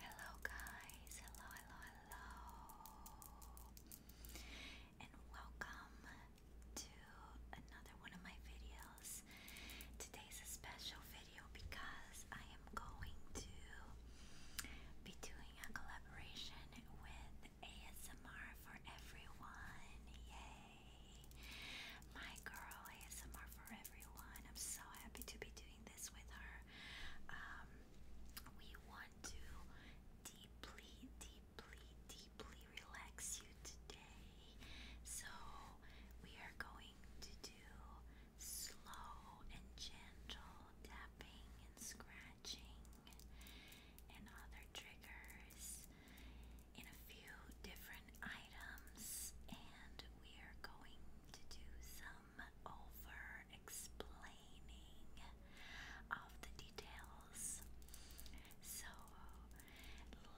Hello, guys. Hello, hello, hello. And welcome to another one of my videos. Today's a special video because I am going to be doing a collaboration with ASMR for everyone. Yay! My girl ASMR for everyone. I'm so happy to be doing this with her. Um, we want to deeply, deeply, deeply relax you today. So we are going to do slow and gentle tapping and scratching and other triggers in a few different items, and we are going to do some over explaining of the details. So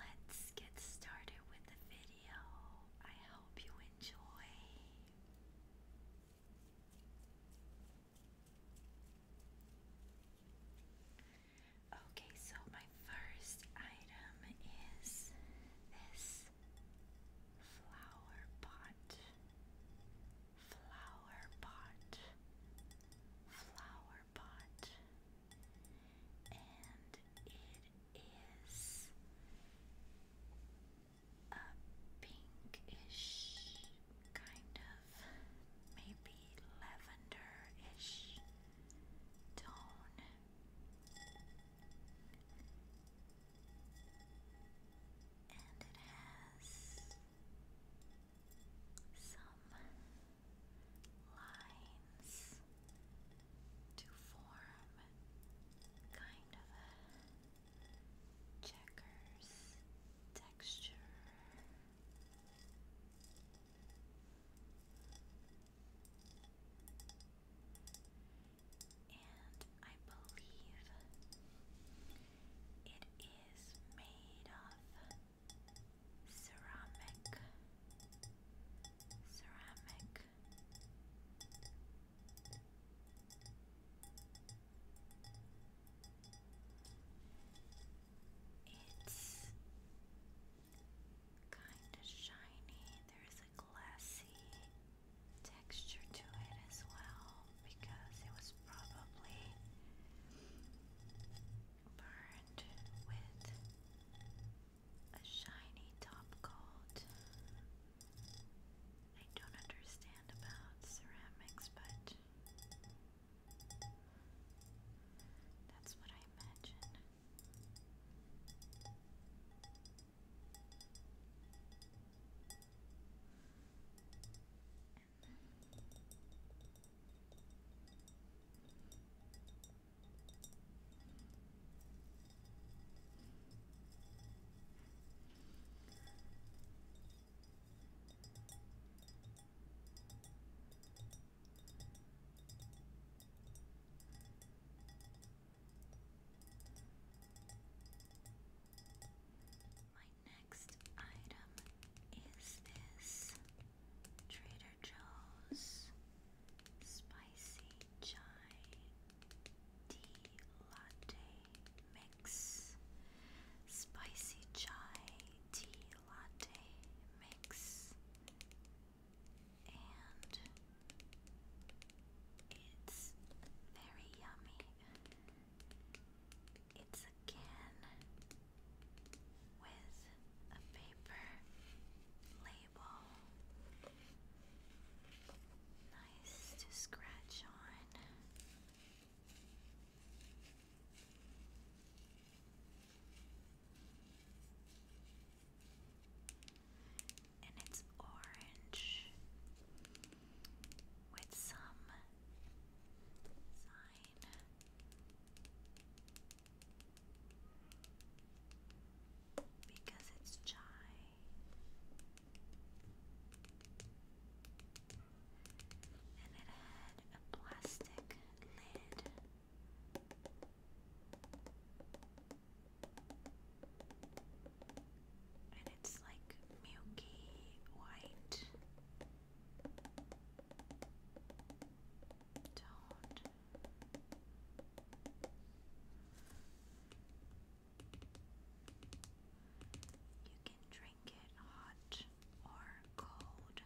let's get started with the video. I hope you enjoy. Okay, so my first item is this flower pot. Flower pot. Flower pot. And it is a pinkish kind of maybe lavender tone. And it has some lines to form kind of a checkers texture. And I believe it is made of ceramic, ceramic. It's kind of shiny. There's a glassy texture to it as well because it was probably burned with a shiny top coat. I don't understand about ceramics, but that's what I imagine. My next item is this Trader Joe's spicy chai latte mix. Spicy chai tea latte mix, and it's very yummy. It's a can with a paper label. Nice to scratch on. And it's orange with some sign. Because it's chai. And it had a plastic lid. And it's like milky white toned. You can drink it hot or cold.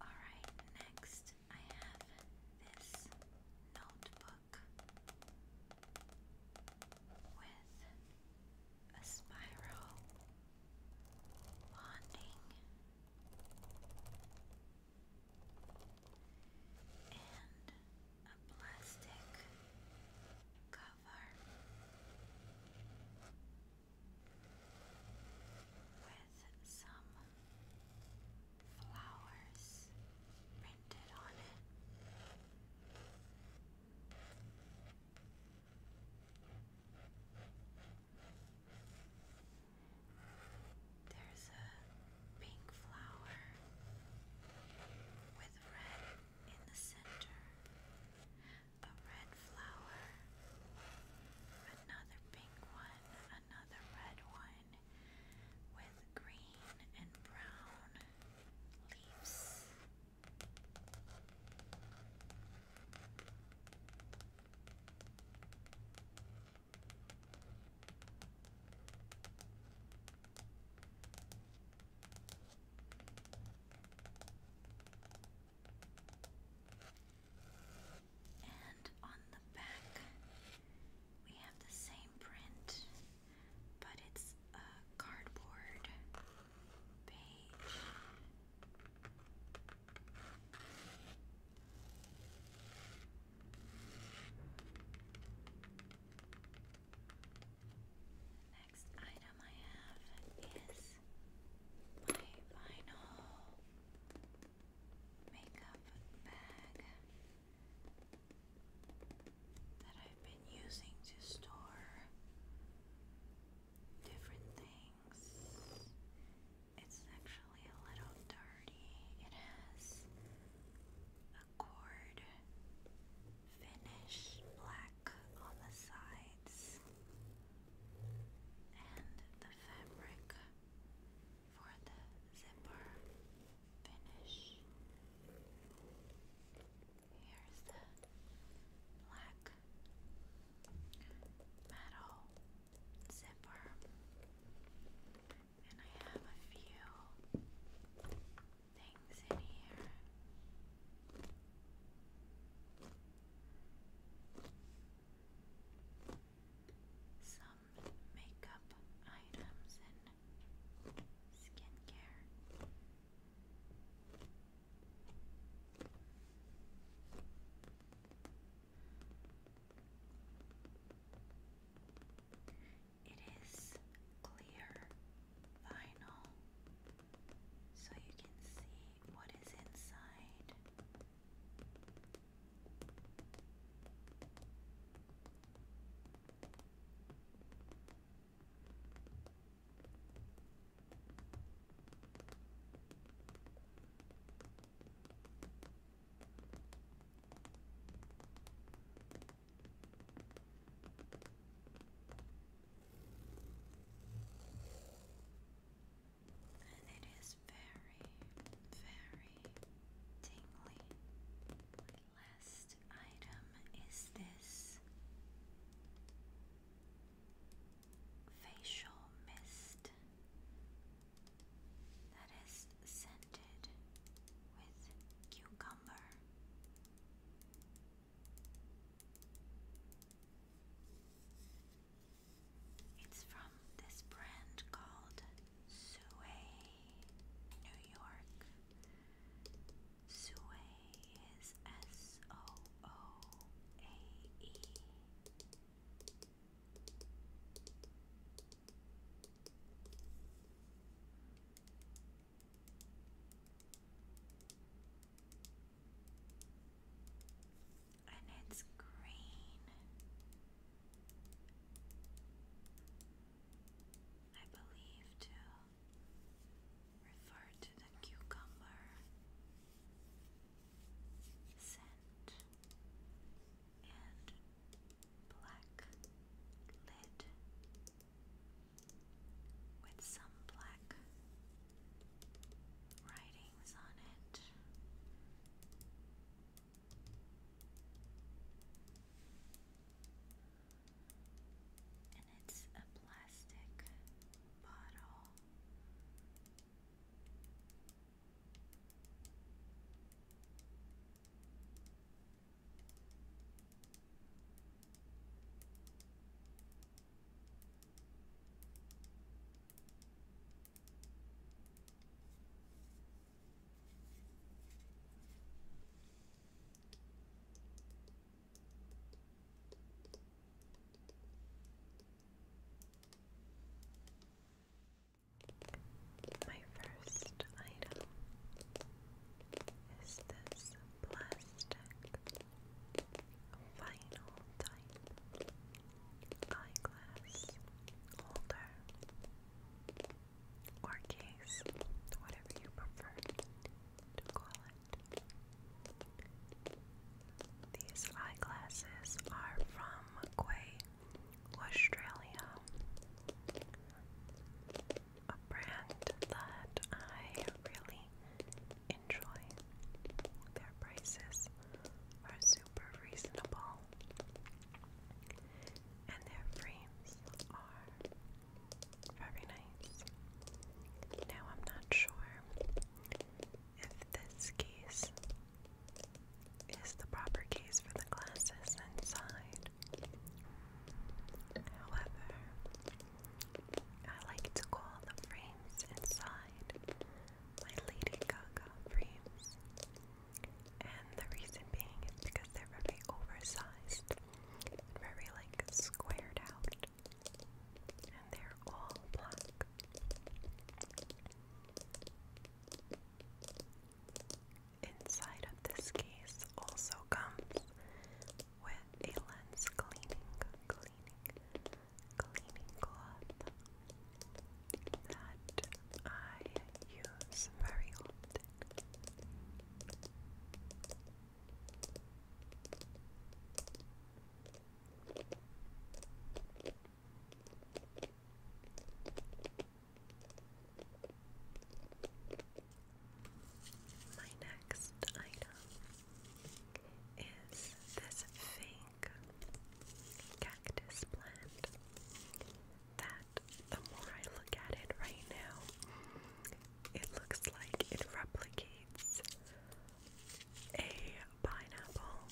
All right, next I have this notebook rock with a spiral bonding and a plastic cover with some flowers printed on it. There's a pink flower with red in the center, a red flower, another pink one, another red one one with green and brown leaves. And on the back, we have the same print but it's a cardboard page. next item I have is my vinyl makeup bag that I've been using to store different things. It's actually a little dirty. It has a cord finish black on the sides, and the fabric for the zipper finish. Here's the black metal zipper, and I have a few things in here. Some makeup items and skincare. It is clear vinyl, so you can see what is inside. And it is very, very tingly last item is this facial mist that is scented with cucumber. It's from this brand called Sue New York. Sue is S O O A E. And it's green. I believe, to refer to the cucumber scent and black lid with some black writings on it. And it's a plastic bottle. My first item is this plastic vinyl type eyeglass holder or case, whatever you prefer to call it. These eyeglasses are from Quay, Australia, a brand that I really enjoy. Their prices are super reasonable and their frames are very nice. Now, I'm not sure if this case is the proper case for the glasses inside. However, I like to call the frames inside my Lady Gaga frames and the reason being is because they're very oversized and very like squared out. And they're all black. Inside of this case also comes with a lens cleaning, cleaning, cleaning cloth that I use very often. My next item is this fake cactus plant that the more I look at it right now, it looks like it replicates a pineapple.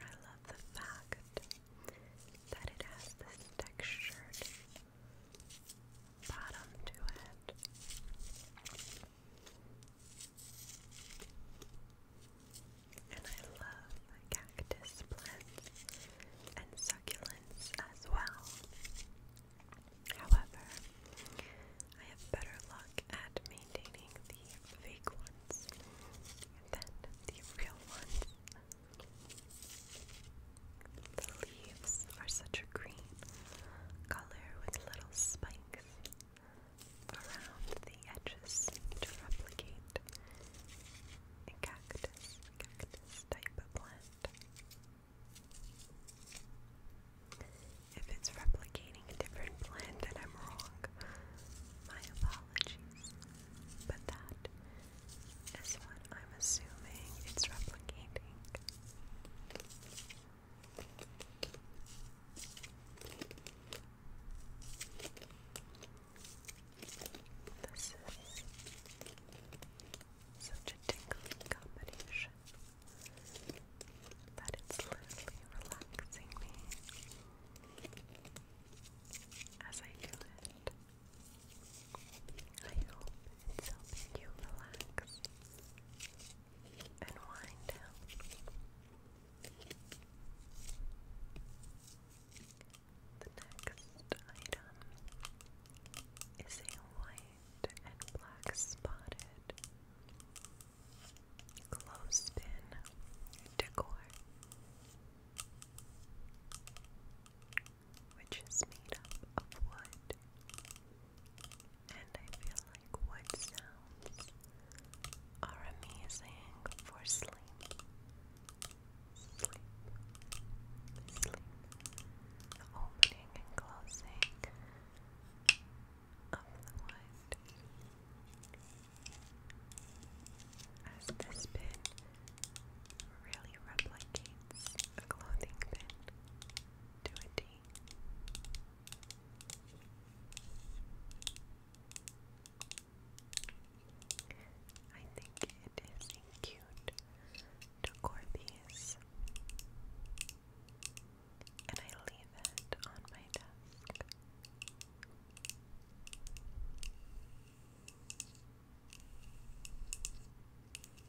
I love the fact that it has this textured bottom to it. And I love cactus plants and succulents as well. However, I have better luck at maintaining the fake ones than the real ones. The leaves are such a green color with little spikes around the edges to replicate a cactus, type of plant. If it's replicating a different plant and I'm wrong, my apologies. But that is what I'm assuming it's replicating. This is such a tingling combination that it's literally relaxing me as I do it is you relax and wind down. The next item is a white and black spotted clothespin decor which is made up of wood. And I feel like wood sounds are amazing for sleep. Sleep. Sleep. opening and closing of the wood. As this pin really replicates a clothing pin, to a T. I think it is cute to Corby's. And I leave it on my desk.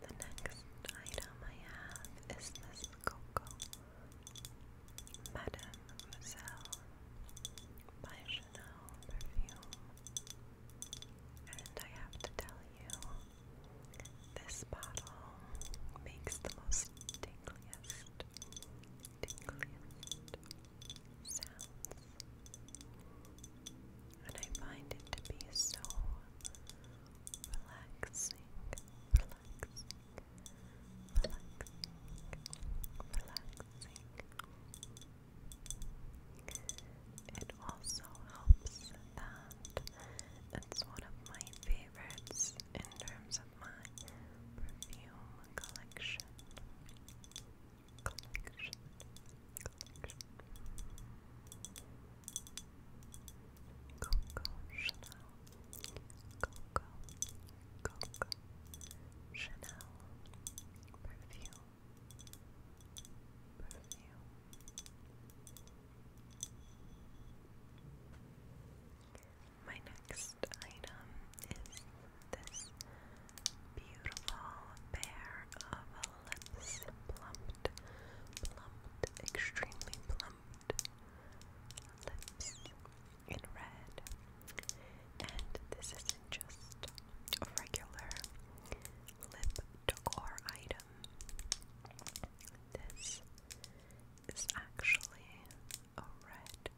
The next item I have is this Coco Mademoiselle by Chanel perfume. And I have to tell you, this bottle makes the most tingliest, tingliest sounds. And I find it to be so relaxing, relaxing, relaxing, relaxing. It also helps that it's one of my favorites in terms of my perfume collection collection, collection. Chanel, Coco, Chanel perfume. My next item is this beautiful pair of lips, plumped, plumped, extremely plumped lips in red. And this isn't just a regular lip decor item. This is actually a red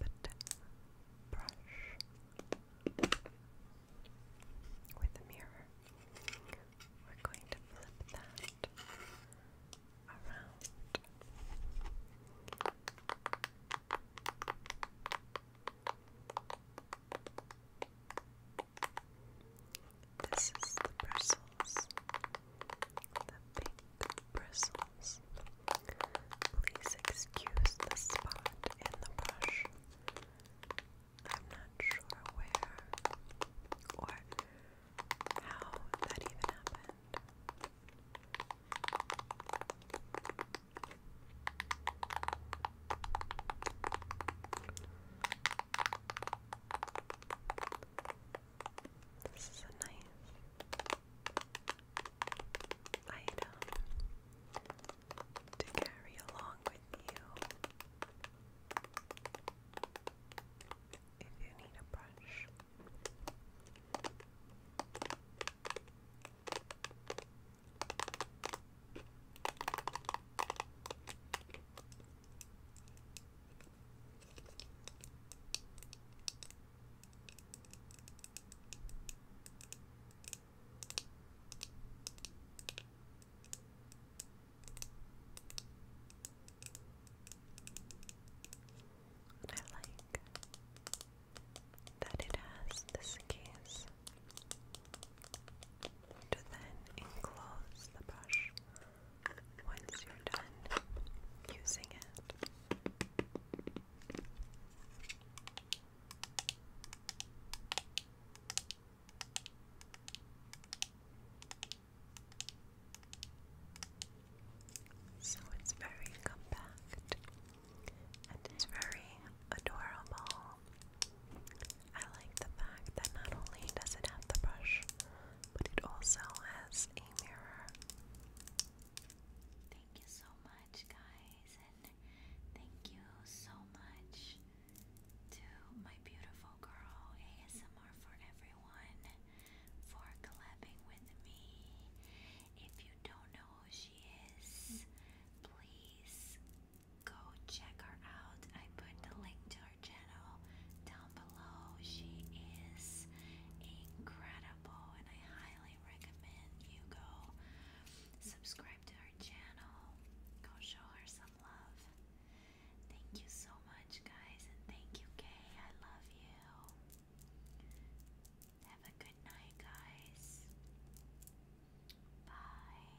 lipped brush with the mirror. We're going to flip that around. This is the bristles, the pink bristles. Please excuse the spot in the brush. I'm not sure where or how that even happened. This is a nice item to carry along with you. If you need a brush. And I like that it has this case to then enclose the brush once you're done using it. So it's very compact and it's very adorable. I like the fact that not only does it have the brush, but it also has a mirror. Thank you so much, guys. Thank you so much to my beautiful girl ASMR for everyone for collabing with me. If you don't know who she is, please go check her out. I put the link to her channel down below. She is incredible and I highly recommend you go subscribe to her channel. Go show her some love. Thank you so much, guys, and thank you, Kay. I love you. Have a good night, guys. Bye.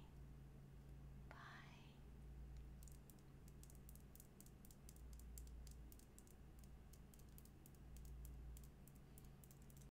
Bye.